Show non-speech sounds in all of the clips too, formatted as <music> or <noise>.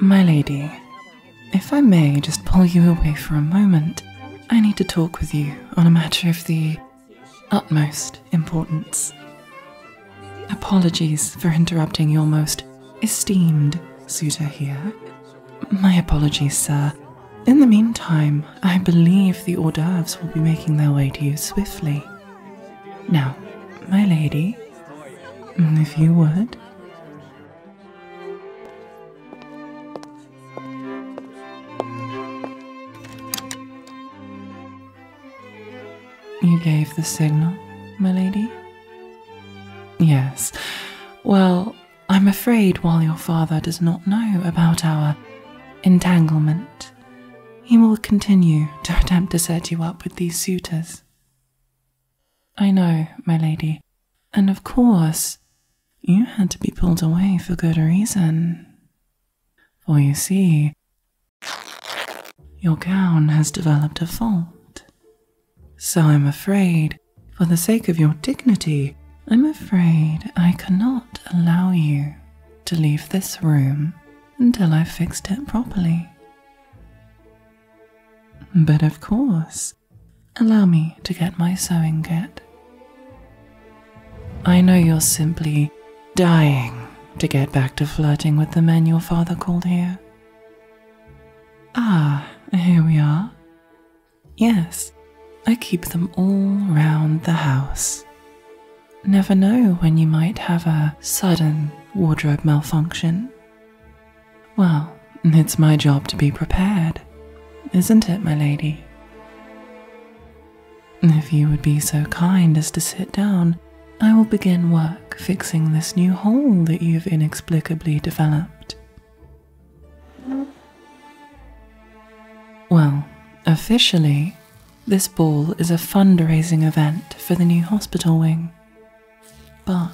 My lady, if I may just pull you away for a moment, I need to talk with you on a matter of the utmost importance. Apologies for interrupting your most esteemed suitor here, my apologies, sir. In the meantime, I believe the hors d'oeuvres will be making their way to you swiftly. Now, my lady, if you would. You gave the signal, my lady? Yes. Well, I'm afraid while your father does not know about our entanglement, he will continue to <laughs> attempt to set you up with these suitors. I know, my lady, and of course, you had to be pulled away for good reason. For you see, your gown has developed a fault, so I'm afraid, for the sake of your dignity, I'm afraid I cannot allow you to leave this room until I've fixed it properly. But of course, allow me to get my sewing kit. I know you're simply dying to get back to flirting with the men your father called here. Ah, here we are. Yes, I keep them all round the house. Never know when you might have a sudden wardrobe malfunction. Well, it's my job to be prepared, isn't it, my lady? If you would be so kind as to sit down, I will begin work fixing this new hole that you've inexplicably developed. Well, officially, this ball is a fundraising event for the new hospital wing. But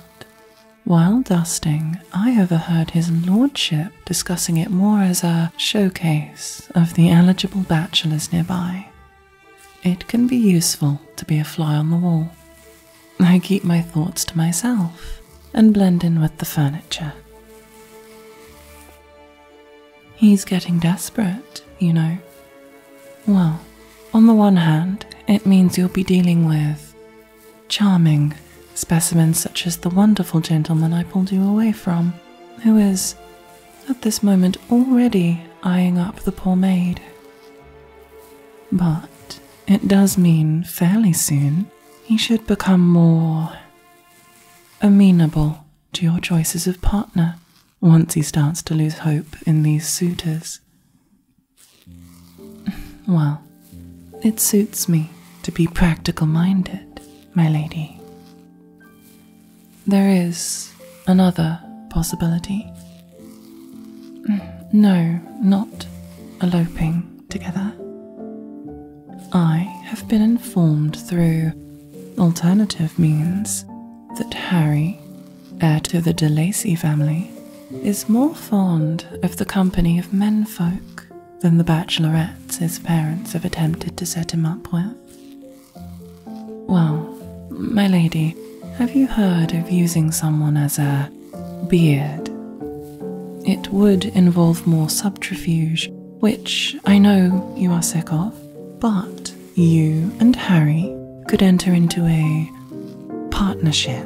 while dusting, I overheard his lordship discussing it more as a showcase of the eligible bachelors nearby. It can be useful to be a fly on the wall, I keep my thoughts to myself and blend in with the furniture. He's getting desperate, you know. Well, on the one hand, it means you'll be dealing with charming specimens such as the wonderful gentleman I pulled you away from, who is, at this moment, already eyeing up the poor maid. But it does mean fairly soon he should become more amenable to your choices of partner once he starts to lose hope in these suitors. Well, it suits me to be practical minded, my lady. There is another possibility. Mm, no, not eloping together. I have been informed through alternative means that Harry, heir to the de Lacy family, is more fond of the company of menfolk than the bachelorettes his parents have attempted to set him up with. Well, my lady, have you heard of using someone as a beard? It would involve more subterfuge, which I know you are sick of, but you and Harry could enter into a partnership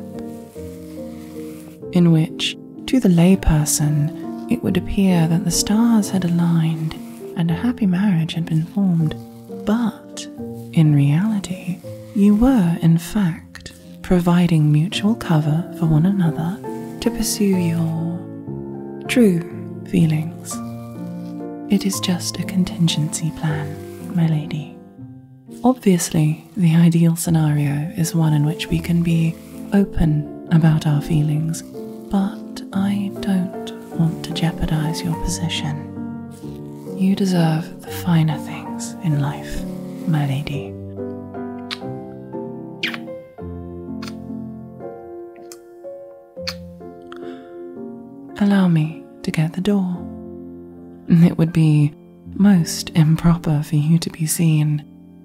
in which, to the layperson, it would appear that the stars had aligned and a happy marriage had been formed. But but in reality, you were, in fact, providing mutual cover for one another to pursue your true feelings. It is just a contingency plan, my lady. Obviously, the ideal scenario is one in which we can be open about our feelings, but I don't want to jeopardize your position. You deserve the finer things in life, my lady. Allow me to get the door. It would be most improper for you to be seen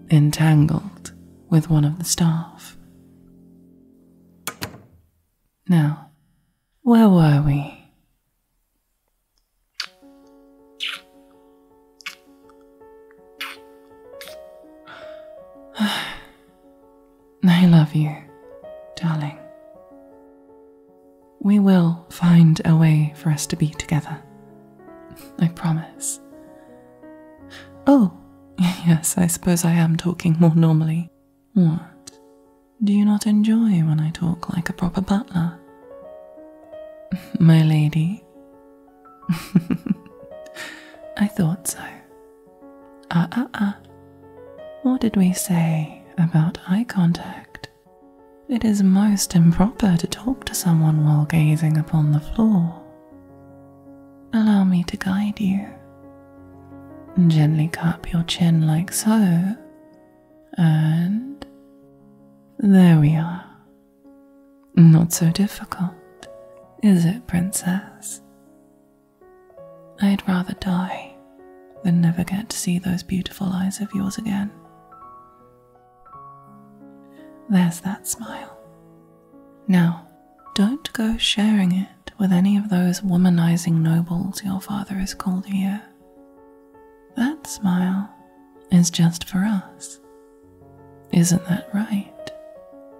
entangled with one of the staff. Now, where were we? <sighs> I love you, darling. We will find a way for us to be together. <laughs> I promise. Oh, <laughs> yes, I suppose I am talking more normally what? Do you not enjoy when I talk like a proper butler? <laughs> My lady? <laughs> I thought so. Ah, ah, ah. What did we say about eye contact? It is most improper to talk to someone while gazing upon the floor. Allow me to guide you. Gently cup your chin like so, and there we are. Not so difficult, is it, Princess? I'd rather die than never get to see those beautiful eyes of yours again. There's that smile. Now, don't go sharing it with any of those womanizing nobles your father is called here. That smile is just for us. Isn't that right,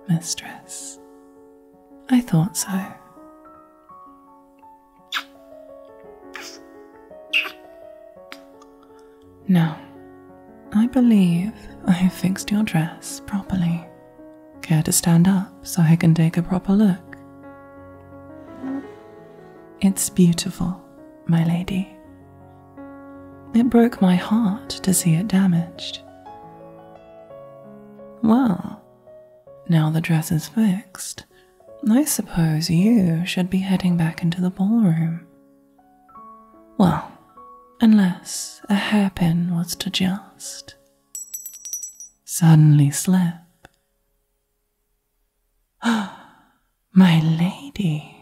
mistress? I thought so. No, I believe I have fixed your dress properly. Care to stand up so I can take a proper look? It's beautiful, my lady. It broke my heart to see it damaged. Well, now the dress is fixed, I suppose you should be heading back into the ballroom well, unless a hairpin was to just suddenly slip. <gasps> My lady,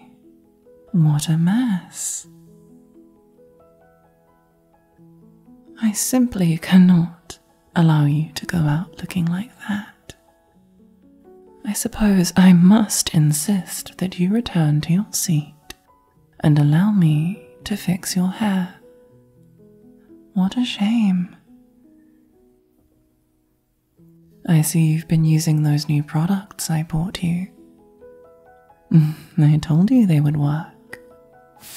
what a mess! I simply cannot allow you to go out looking like that. I suppose I must insist that you return to your seat and allow me to fix your hair. What a shame. I see you've been using those new products I bought you. <laughs> I told you they would work.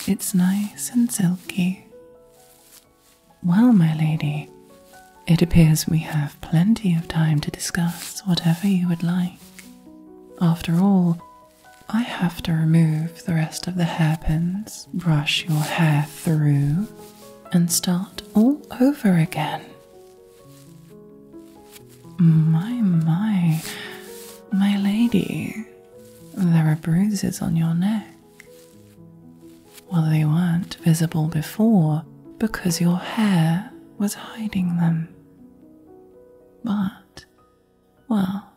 It's nice and silky. Well, my lady, it appears we have plenty of time to discuss whatever you would like. After all, I have to remove the rest of the hairpins, brush your hair through, and start all over again. My, my, my lady, there are bruises on your neck. Well, they weren't visible before because your hair was hiding them. But, well,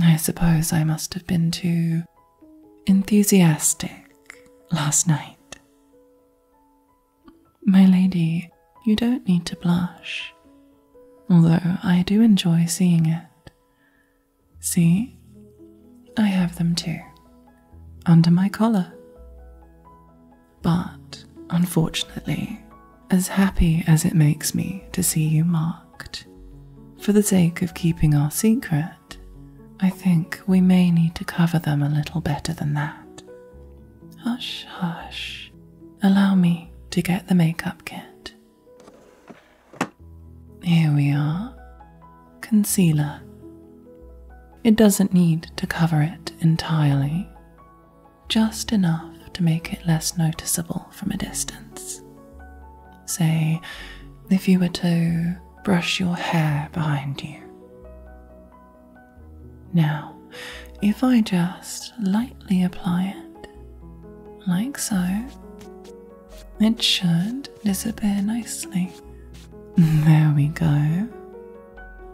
I suppose I must have been too enthusiastic last night. My lady, you don't need to blush, although I do enjoy seeing it. See, I have them too, under my collar. But unfortunately, as happy as it makes me to see you marked, for the sake of keeping our secret, I think we may need to cover them a little better than that. Hush, hush. Allow me to get the makeup kit. Here we are concealer. It doesn't need to cover it entirely, just enough to make it less noticeable from a distance. Say, if you were to brush your hair behind you. Now, if I just lightly apply it, like so, it should disappear nicely. There we go.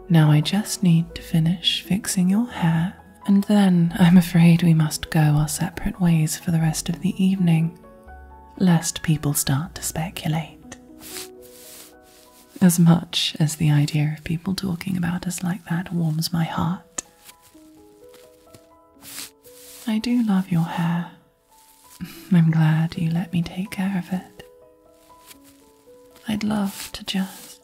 Now I just need to finish fixing your hair, and then I'm afraid we must go our separate ways for the rest of the evening, lest people start to speculate. As much as the idea of people talking about us like that warms my heart. I do love your hair, I'm glad you let me take care of it. I'd love to just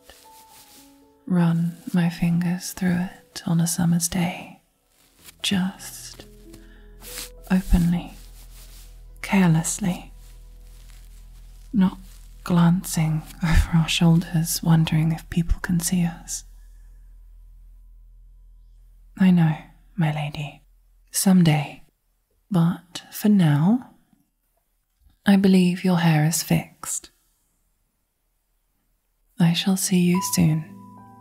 run my fingers through it on a summer's day. Just openly, carelessly, not glancing over our shoulders, wondering if people can see us. I know, my lady. Some day but for now, I believe your hair is fixed. I shall see you soon,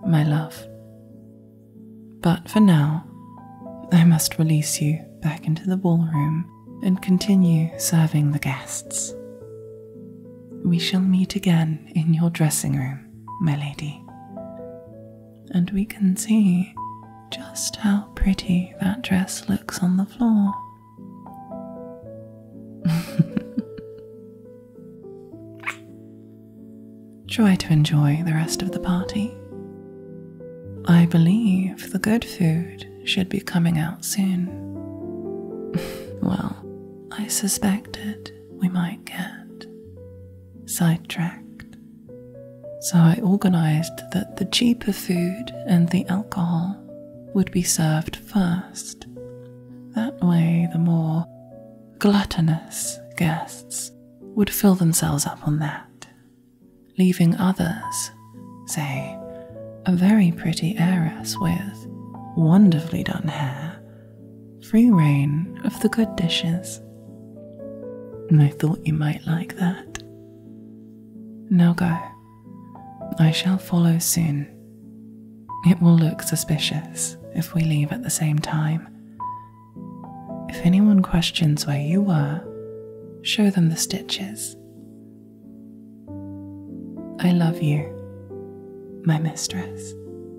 my love. But for now, I must release you back into the ballroom and continue serving the guests. We shall meet again in your dressing room, my lady and we can see just how pretty that dress looks on the floor. <laughs> Try to enjoy the rest of the party. I believe the good food should be coming out soon. <laughs> well, I suspected we might get sidetracked, so I organized that the cheaper food and the alcohol would be served first. That way, the more gluttonous guests would fill themselves up on that, leaving others, say, a very pretty heiress with wonderfully done hair free reign of the good dishes. And I thought you might like that. Now go. I shall follow soon. It will look suspicious if we leave at the same time. If anyone questions where you were, show them the stitches. I love you, my mistress.